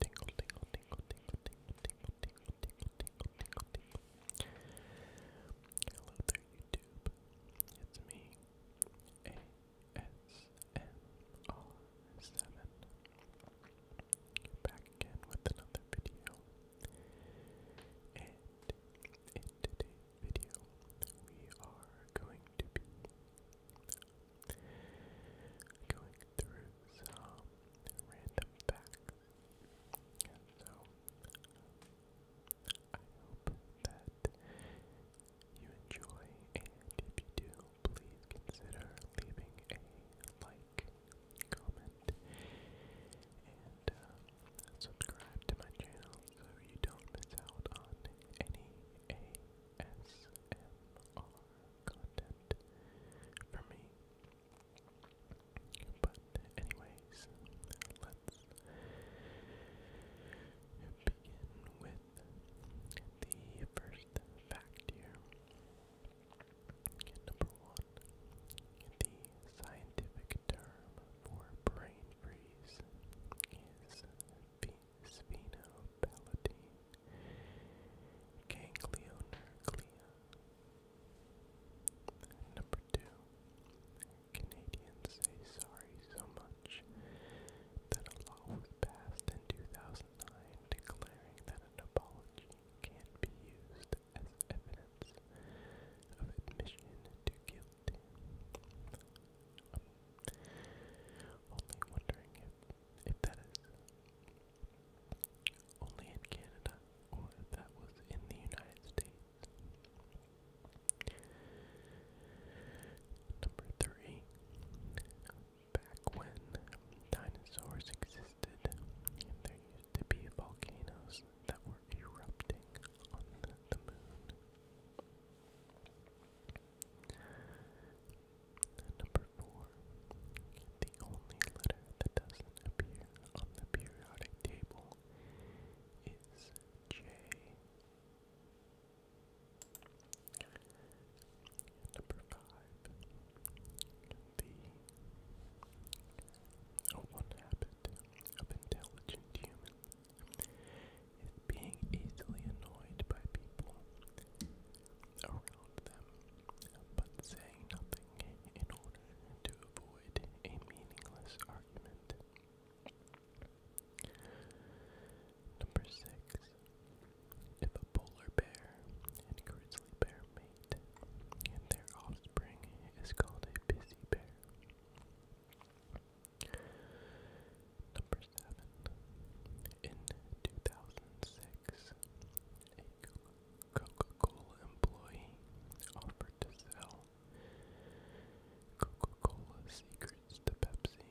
Tingle, tingle, Hello there, YouTube. It's me, ASMR7. Back again with another video. And in today's video, we are going to be going through some random facts. so I hope that you enjoy, and if you do, please consider leaving a like, comment, and uh, subscribe to my channel so you don't miss out on any ASMR content for me. But, anyways, let's begin with the first fact here. Number one, the scientific term for brain freeze is. Being Spheno Palatine, Ganglionerglea. Number Canadians say sorry so much that a law was passed in 2009 declaring that an apology can't be used as evidence of admission to guilt. Um, only wondering if, if that is only in Canada or if that was in the United States. Number three. Back when dinosaurs existed, there used to be volcanoes that were erupting on the moon. Number four, the only letter that doesn't appear on the periodic table is J. Number five, the one habit of intelligent humans is being easily annoyed by people around them, but saying nothing in order to avoid a meaningless argument. Number six. If a polar bear and grizzly bear mate, their offspring is called a busy bear. Number seven. In 2006, a Coca-Cola employee offered to sell Coca-Cola secrets to Pepsi.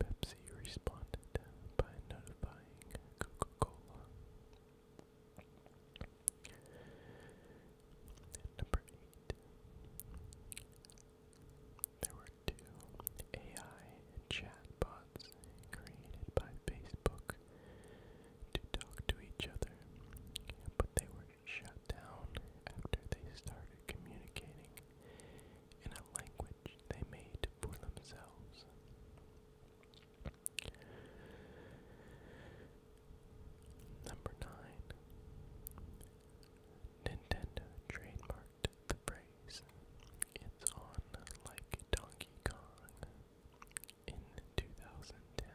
Pepsi responded by notifying Coca-Cola. Number eight. There were two AI chatbots created by Facebook to talk to each other, but they were shut down after they started communicating in a language they made for themselves. Number 9. Nintendo trademarked the phrase, it's on like Donkey Kong, in 2010.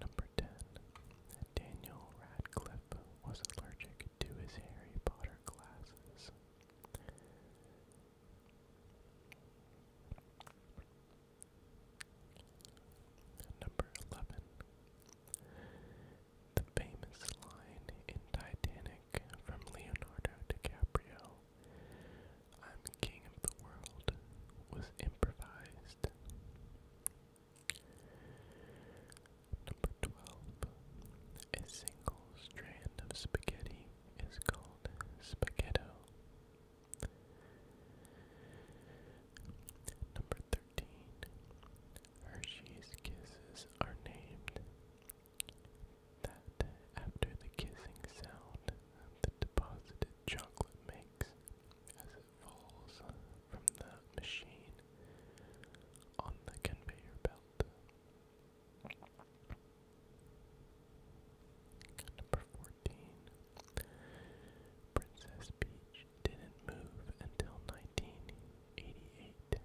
Number 10. Daniel Radcliffe was allergic to his Harry Potter glasses. Number 11. The famous line in Titanic from Leonardo DiCaprio, I'm king of the world, was improvised. Number 12. A single strand of spaghetti is called spaghetto. Number 13. Hershey's kisses are named that after the kissing sound the deposited chocolate makes as it falls from the machine on the conveyor belt. Number 14. Princess Peach didn't move until 1988.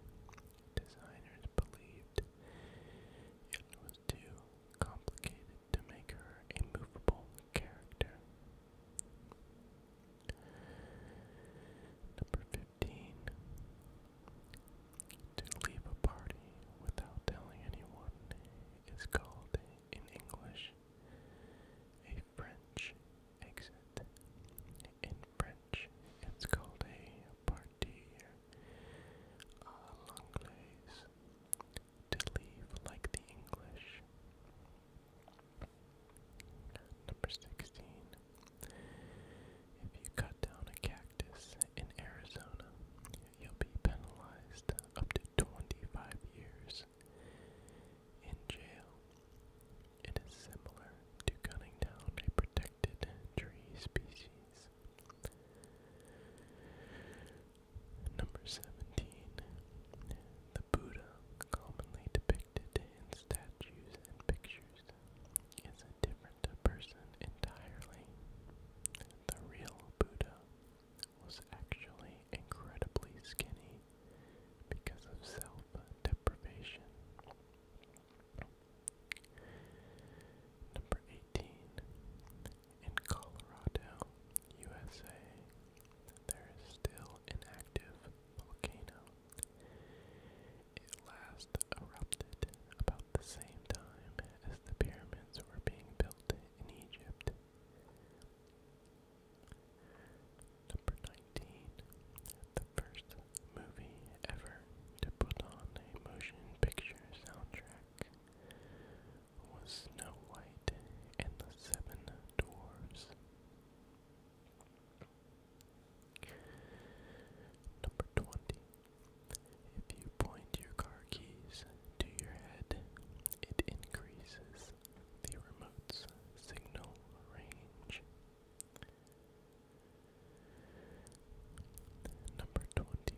Designers believed it was too complicated to make her a movable character. Number 15. To leave a party without telling anyone is called in English, a French exit. In French, it's called a partir à uh, to leave like the English. Number 16. If you cut down a cactus in Arizona, you'll be penalized up to 25 years in jail. It is similar to cutting down a protected tree species. Number 17. The Buddha, commonly depicted in statues and pictures, is a different person entirely. The real Buddha was actually incredibly skinny because of self deprivation. Number 18. In Colorado, USA, there is still an active volcano. It last erupted about the same time as the pyramids were being built built in Egypt. Number 19. The first movie ever to put on a motion picture soundtrack was Snow White and the Seven Dwarfs. Number 20. If you point your car keys to your head, it increases the remote's signal range. Number 21.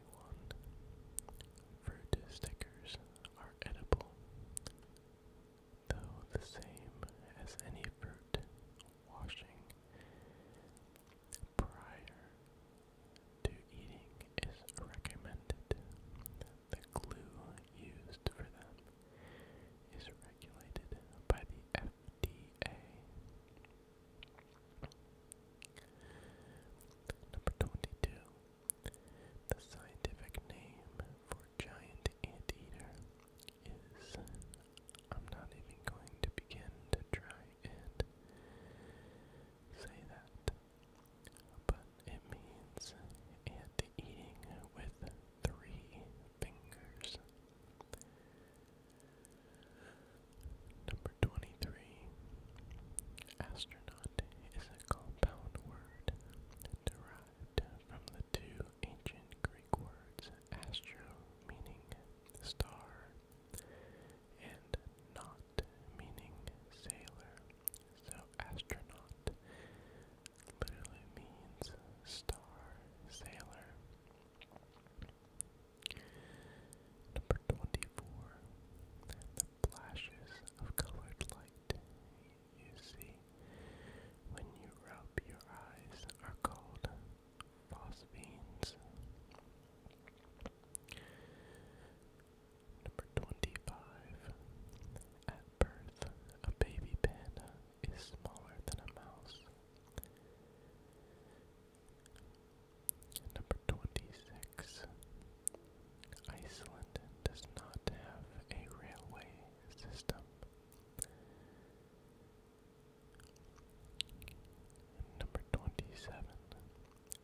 Fruit stickers are edible, though the same as any fruit washing prior to eating is recommended. The glue used for them is regulated by the FDA. Number 22. The scientific name for giant anteater is. I'm not even going to begin to try and say that but it means and eating with three fingers. Number 23. Astronaut is a compound word derived from the two ancient Greek words astro, meaning star, and not meaning sailor. So astronaut literally means star sailor. Number 24. The flashes of colored light you see when you rub your eyes are called phosphenes. Number 25. At birth, a baby panda is smaller than a mouse. Number 26. Iceland does not have a railway system. Number 27.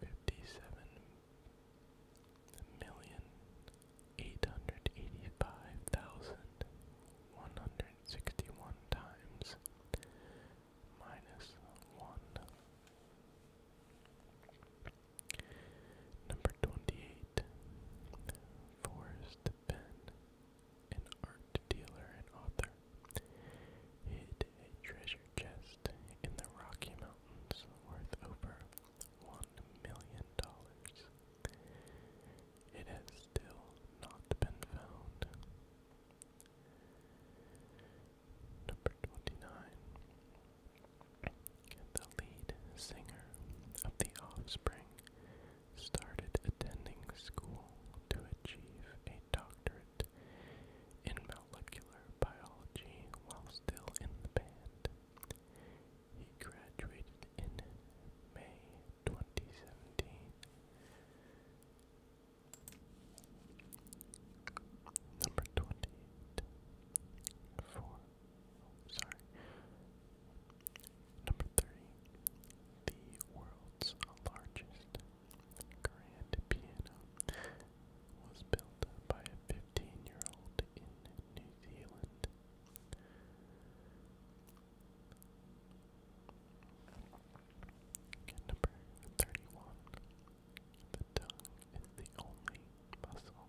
fifty-seven million eight hundred eighty-five thousand one hundred sixty-one times minus one. Number twenty-eight. Forrest Penn, an art dealer and author, hid a treasure chest in the Rocky Mountains worth over one million dollars. It has still not been found. Number 29. The lead singer of The Offspring started attending school to achieve a doctorate in molecular biology while still in the band. He graduated in May 2017. Number 28. Sorry. Number 30. The world's largest grand piano was built by a 15 year old in New Zealand. number 31. The tongue is the only muscle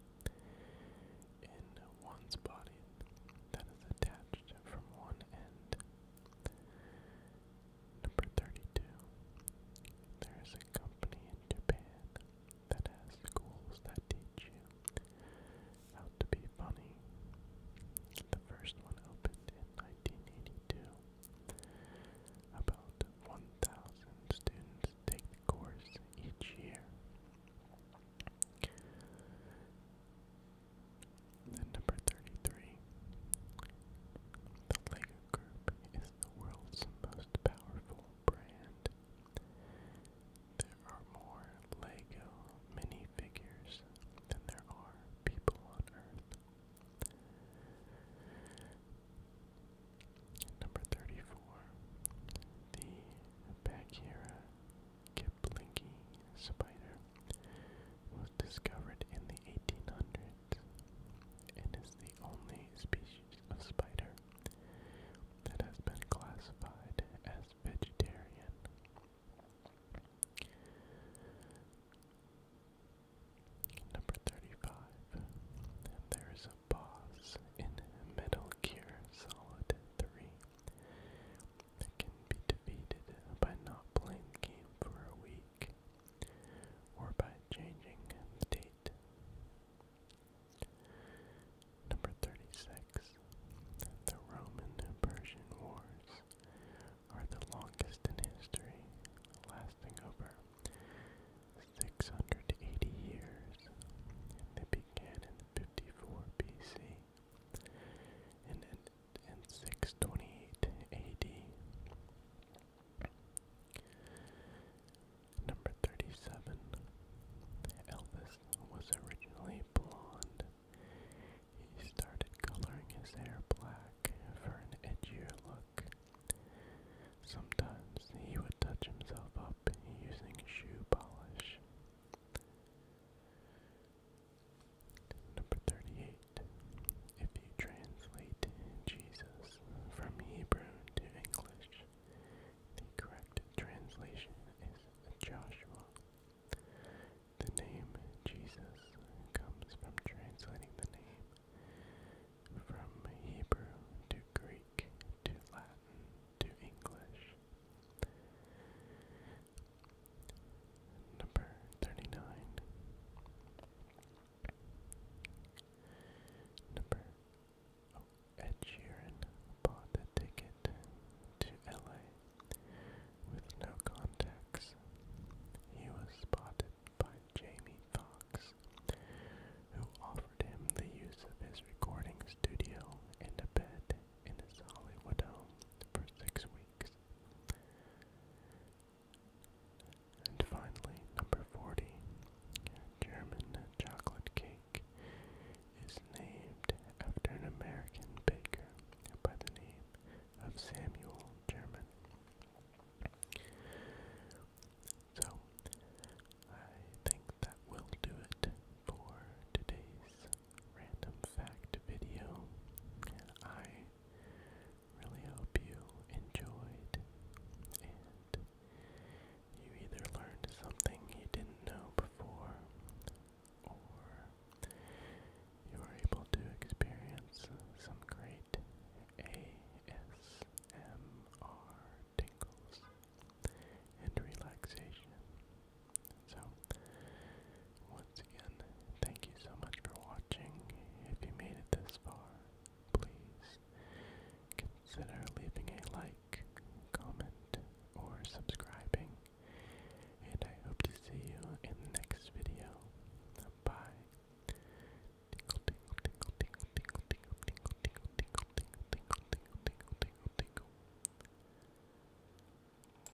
in one's body that is attached from one end. Number 32. There is a company in Japan that has schools that teach you how to be funny. The first one opened in 1982. About 1,000 students take the course each year number 33. The LEGO Group is the world's most powerful brand. There are more LEGO minifigures than there are people on Earth. Number 34. The Bagheera Kiplingi spider was discovered in the 1800s it is the only species of spider that has been classified as vegetarian. Number 35. There is a boss in Metal Gear Solid 3 that can be defeated by not playing the game for a week or by changing the date. Number 36. The Roman Persian Wars are the longest in history, lasting over 680 years. They began in 54 BC and ended in 628 AD. Number 37. Elvis was originally blonde. He started coloring his hair black for an edgier look. Sometimes he would touch himself up using shoe polish. Number 38. If you translate Jesus from Hebrew to English, the correct translation is Joshua. The name Jesus comes from translating the name from Hebrew to Greek to Latin to English. Number 39. Number oh, Ed Sheeran bought a ticket to LA with no contacts. He was spotted by Jamie Foxx, who offered him the use of his recording studio and a bed in his Hollywood home for six weeks. And finally, number 40, German chocolate cake is named after an American baker by the name of Samuel German. So, I think that will do it for today's random fact video. I really hope you enjoyed and you either learned something you didn't know before or you were able to experience some great ASMR tingles and relaxation. So, once again, thank you so much for watching. If you made it this far, please consider leaving a like, comment, or subscribing. And I hope to see you in the next video. Bye. Tinkle, tinkle, tinkle, tinkle, tinkle, tinkle, tinkle, tinkle, tinkle, tinkle, tinkle, tinkle, tinkle, tinkle,